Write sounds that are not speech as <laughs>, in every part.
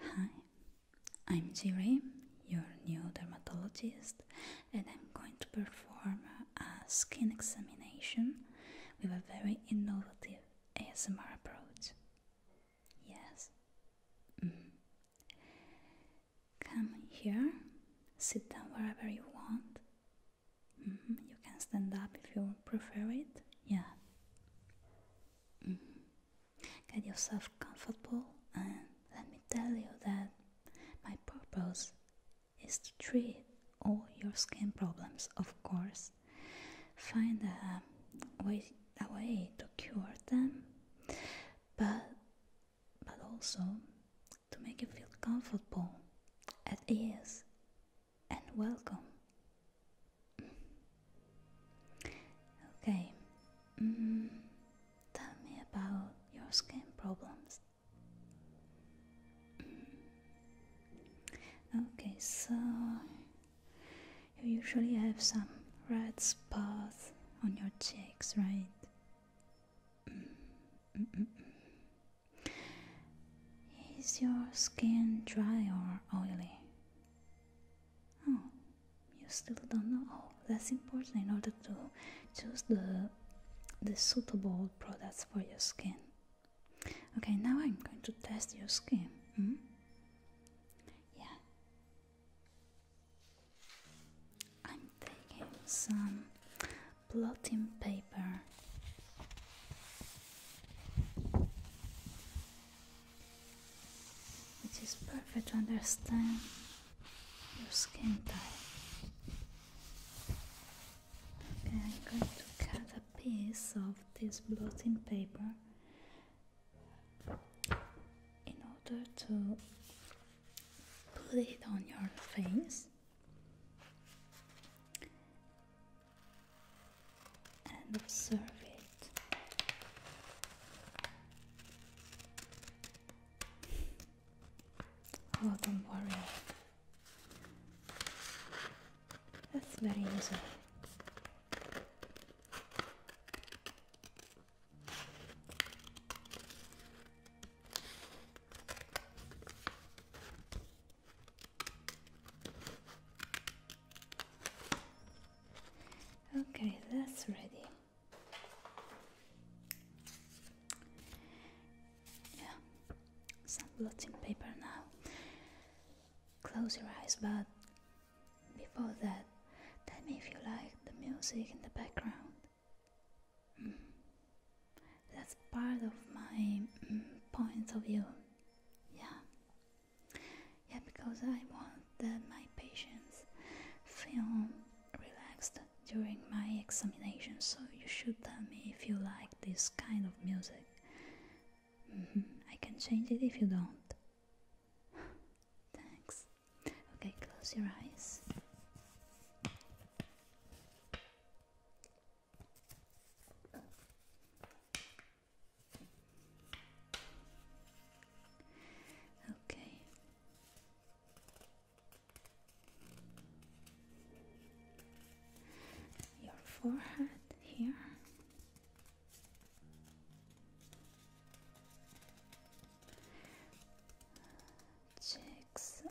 Hi, I'm Jiri, your new dermatologist, and I'm going to perform a skin examination with a very innovative ASMR approach. Yes. Mm-hmm. Come here, sit down wherever you want, Mm-hmm. You can stand up if you prefer it. Yeah. Mm-hmm. Get yourself comfortable, and let me tell you that my purpose is to treat all your skin problems, of course. Find a way, a way to cure them, but but also to make you feel comfortable, at ease, and welcome. Okay, mm, tell me about your skin problems. Mm. okay, so you usually have some red spots on your cheeks, right? Mm, is your skin dry or oily? Oh, you still don't know. Oh, that's important in order to choose the the suitable products for your skin. Okay, now I'm going to test your skin. Hmm? Yeah. I'm taking some blotting paper. Which is perfect to understand your skin type. Okay, I'm going to cut a piece of this blotting paper in order to put it on your face and observe it. <laughs> Oh, don't worry, that's very easy. Okay, that's ready. Yeah, some blotting paper now. Close your eyes, but before that, tell me if you like the music in the background. Mm. That's part of my mm, point of view. Yeah. Yeah, because I want that my patients feel relaxed during my examination, so you should tell me if you like this kind of music. Mm-hmm. I can change it if you don't. <sighs> Thanks. Okay, close your eyes. Okay. Your forehead here. Cheeks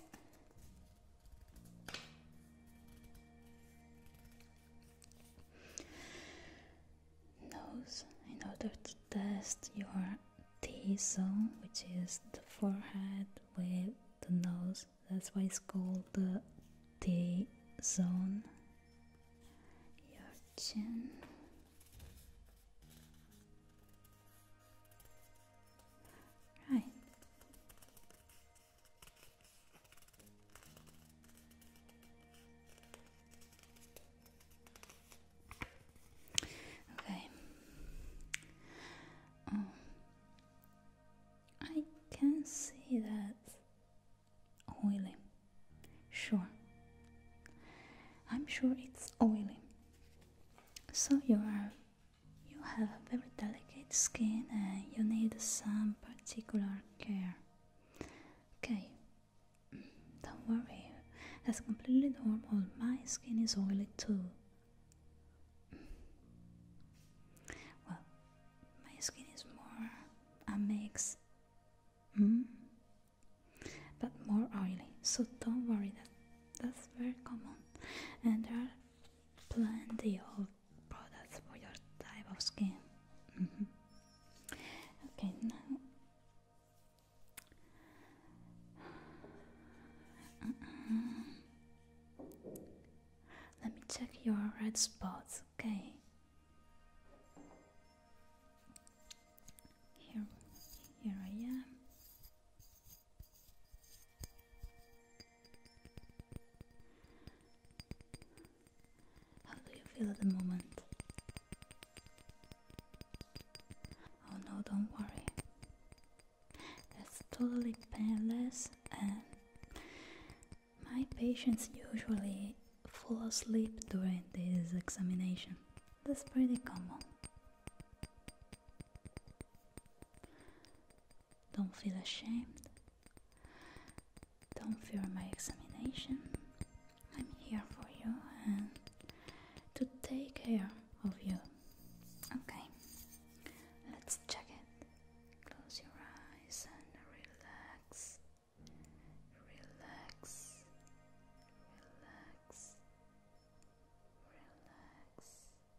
Nose, in order to test your T zone, which is the forehead with the nose, that's why it's called the T zone. Your chin. Right. Okay. Um, I can see that oily. Sure. I'm sure it's oily. So you are you have a very delicate skin and you need some particular care. Okay, mm, don't worry, that's completely normal. My skin is oily too. Mm. Well, my skin is more a mix, mm. but more oily, so don't worry, that, that's very common. And there are plenty of products for your type of skin. Mm-hmm. Okay, now. Uh-uh. Let me check your red spots, okay? Here, here I am. How do you feel at the moment? Oh no, don't worry. That's totally painless, and my patients usually fall asleep during this examination. That's pretty common. Don't feel ashamed. Don't fear my examination. I'm here for you and to take care of you. Okay, let's check it. Close your eyes and relax. Relax. Relax. Relax.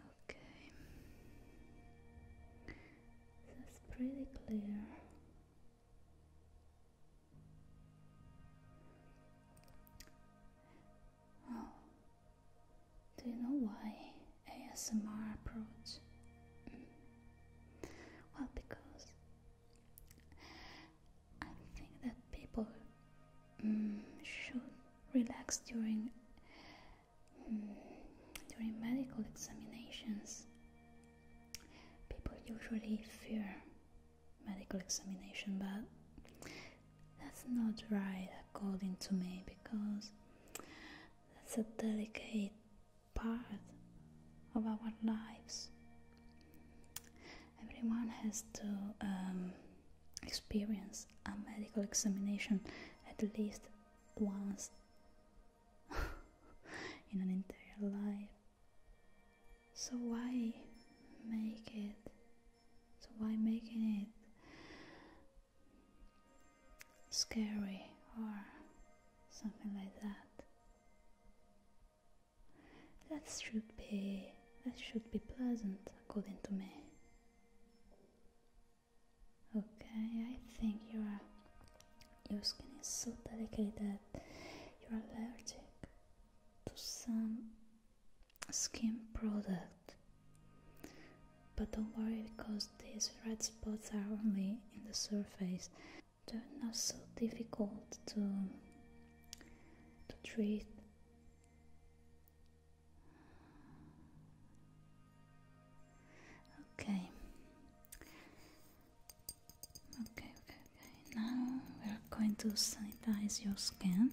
Okay, that's pretty clear. Oh, do you know why ASMR approach? Hmm. well, because I think that people mm, should relax during mm, during medical examinations. People usually fear medical examination, but that's not right according to me because that's a delicate part of our lives. Everyone has to um, experience a medical examination at least once <laughs> in an entire life. So why make it? So why making it scary or something like that? That should be that should be pleasant according to me. Okay, I think your your skin is so delicate that you're allergic to some skin product but don't worry because these red spots are only in the surface they're not so difficult to to treat okay okay okay okay now we're going to sanitize your skin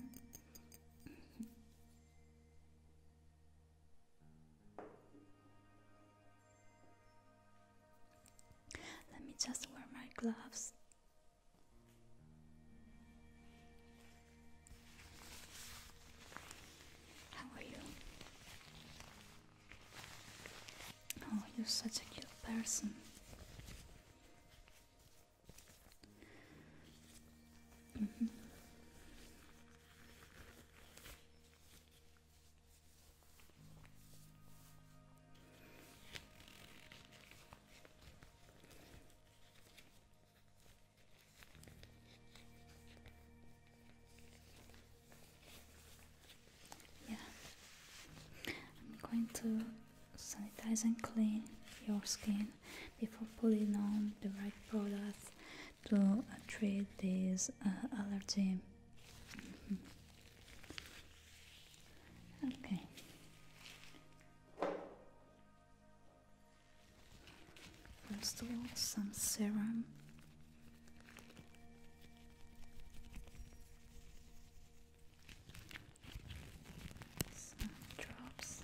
let me just wear my gloves. How are you? Oh, you're such a cute person. Mm-hmm. Yeah, I'm going to sanitize and clean your skin before putting on the right products to treat this uh, allergy. Mm-hmm. Okay. First of all, some serum some drops.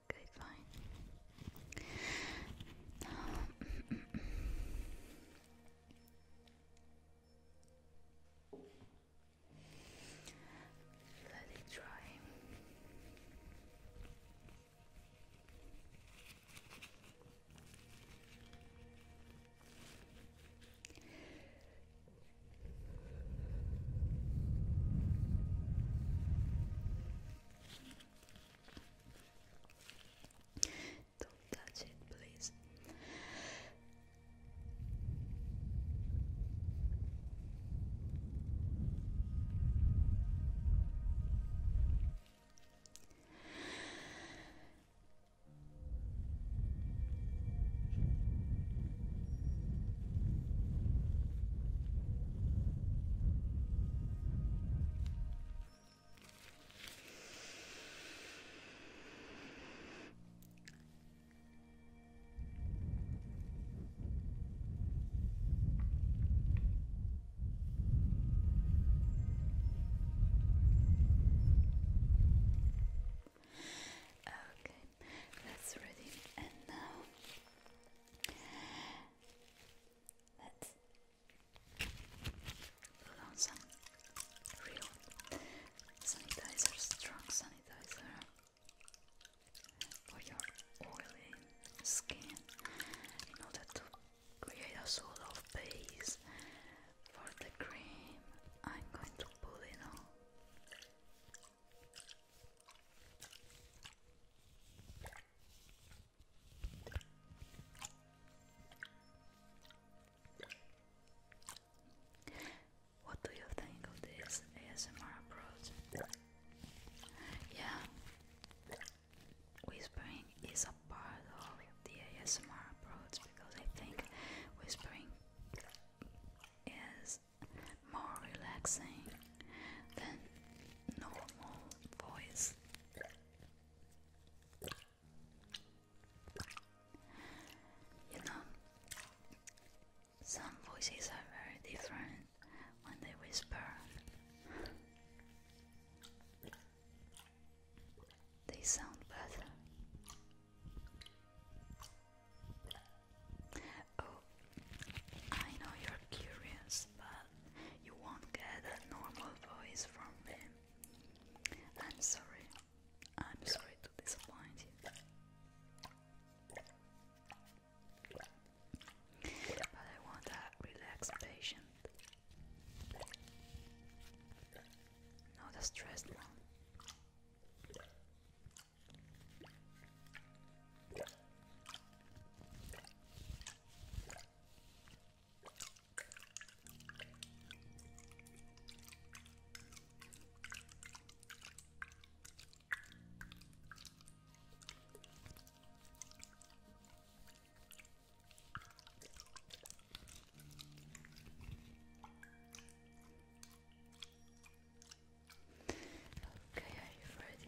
Okay, fine. Um, let it dry. Don't touch it, please. Okay, that's ready. And now put on some real sanitizer, strong sanitizer for your oily skin in order to create a sort base for the cream. I'm going to put it on. What do you think of this ASMR approach? Yeah, whispering is a part of the ASMR approach because I think whispering is more relaxing than normal voice. You know, some voices are very different when they whisper. They sound better. Oh, I know you're curious, but you won't get a normal voice from me. I'm sorry. I'm sorry to disappoint you. But I want a relaxed patient. Not a stressed one. Okay, are you ready?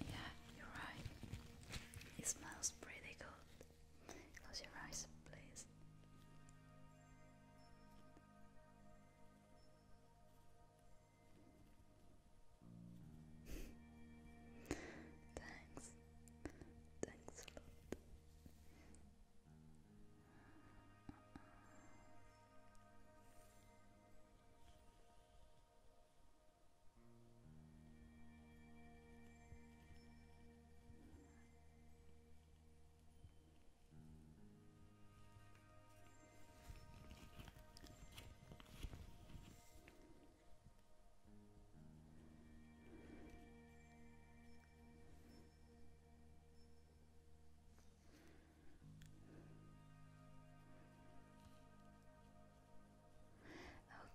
Yeah, you're right. It smells pretty good. Close your eyes, please. <laughs> Thanks. Thanks a lot.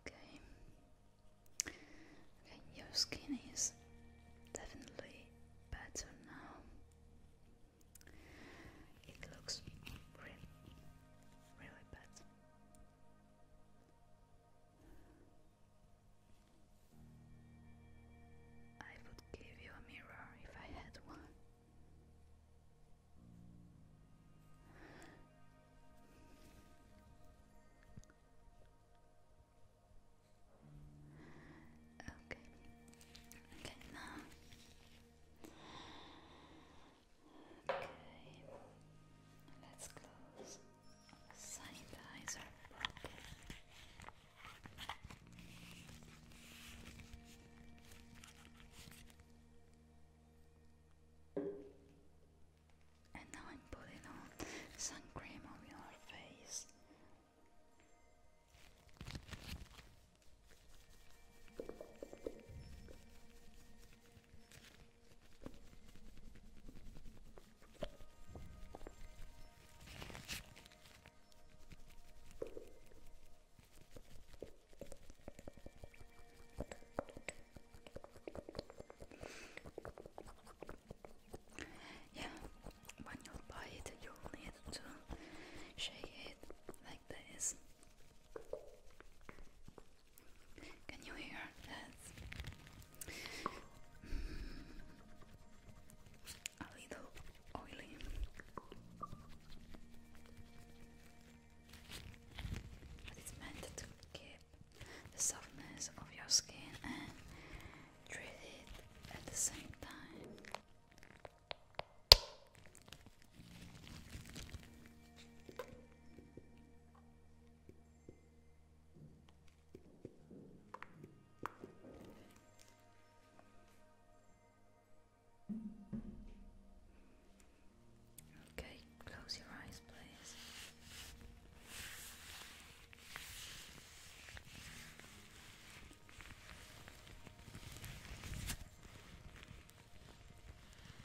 Okay. Okay, your skin is definitely better now. It looks really, really bad. I would give you a mirror if I had one. Okay. Okay now. Okay, let's close sanitizer And now I'm putting on sun cream on your face. Yeah, when you buy you need to shake it like this. Can you hear that? Mm. a little oily. But it's meant to keep the softness of your skin and treat it at the same time. Okay, close your eyes, please.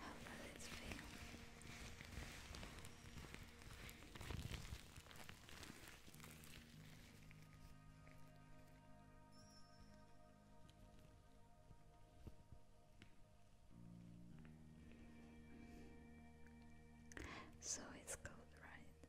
How does it feel? So it's cold, right?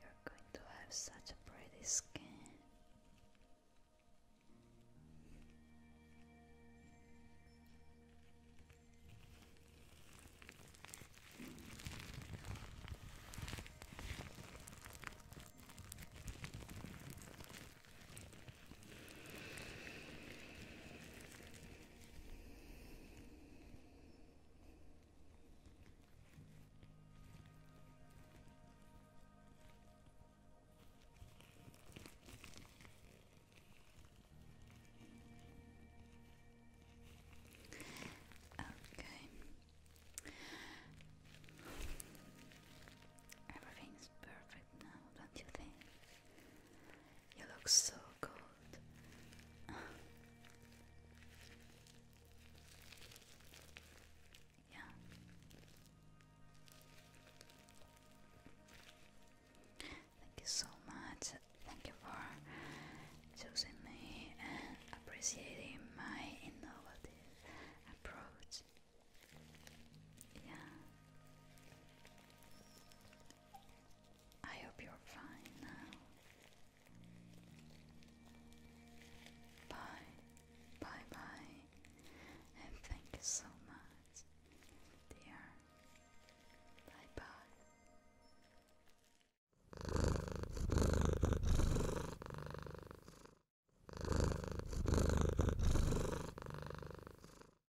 You're going to have such a pretty skin. Okay. Everything's perfect now, don't you think? You look so good. yeah. Thank you so much. Thank you for choosing me and appreciating my innovative approach. Yeah. I hope you're fine now. Bye, bye, bye, and thank you so much, dear. Bye, bye.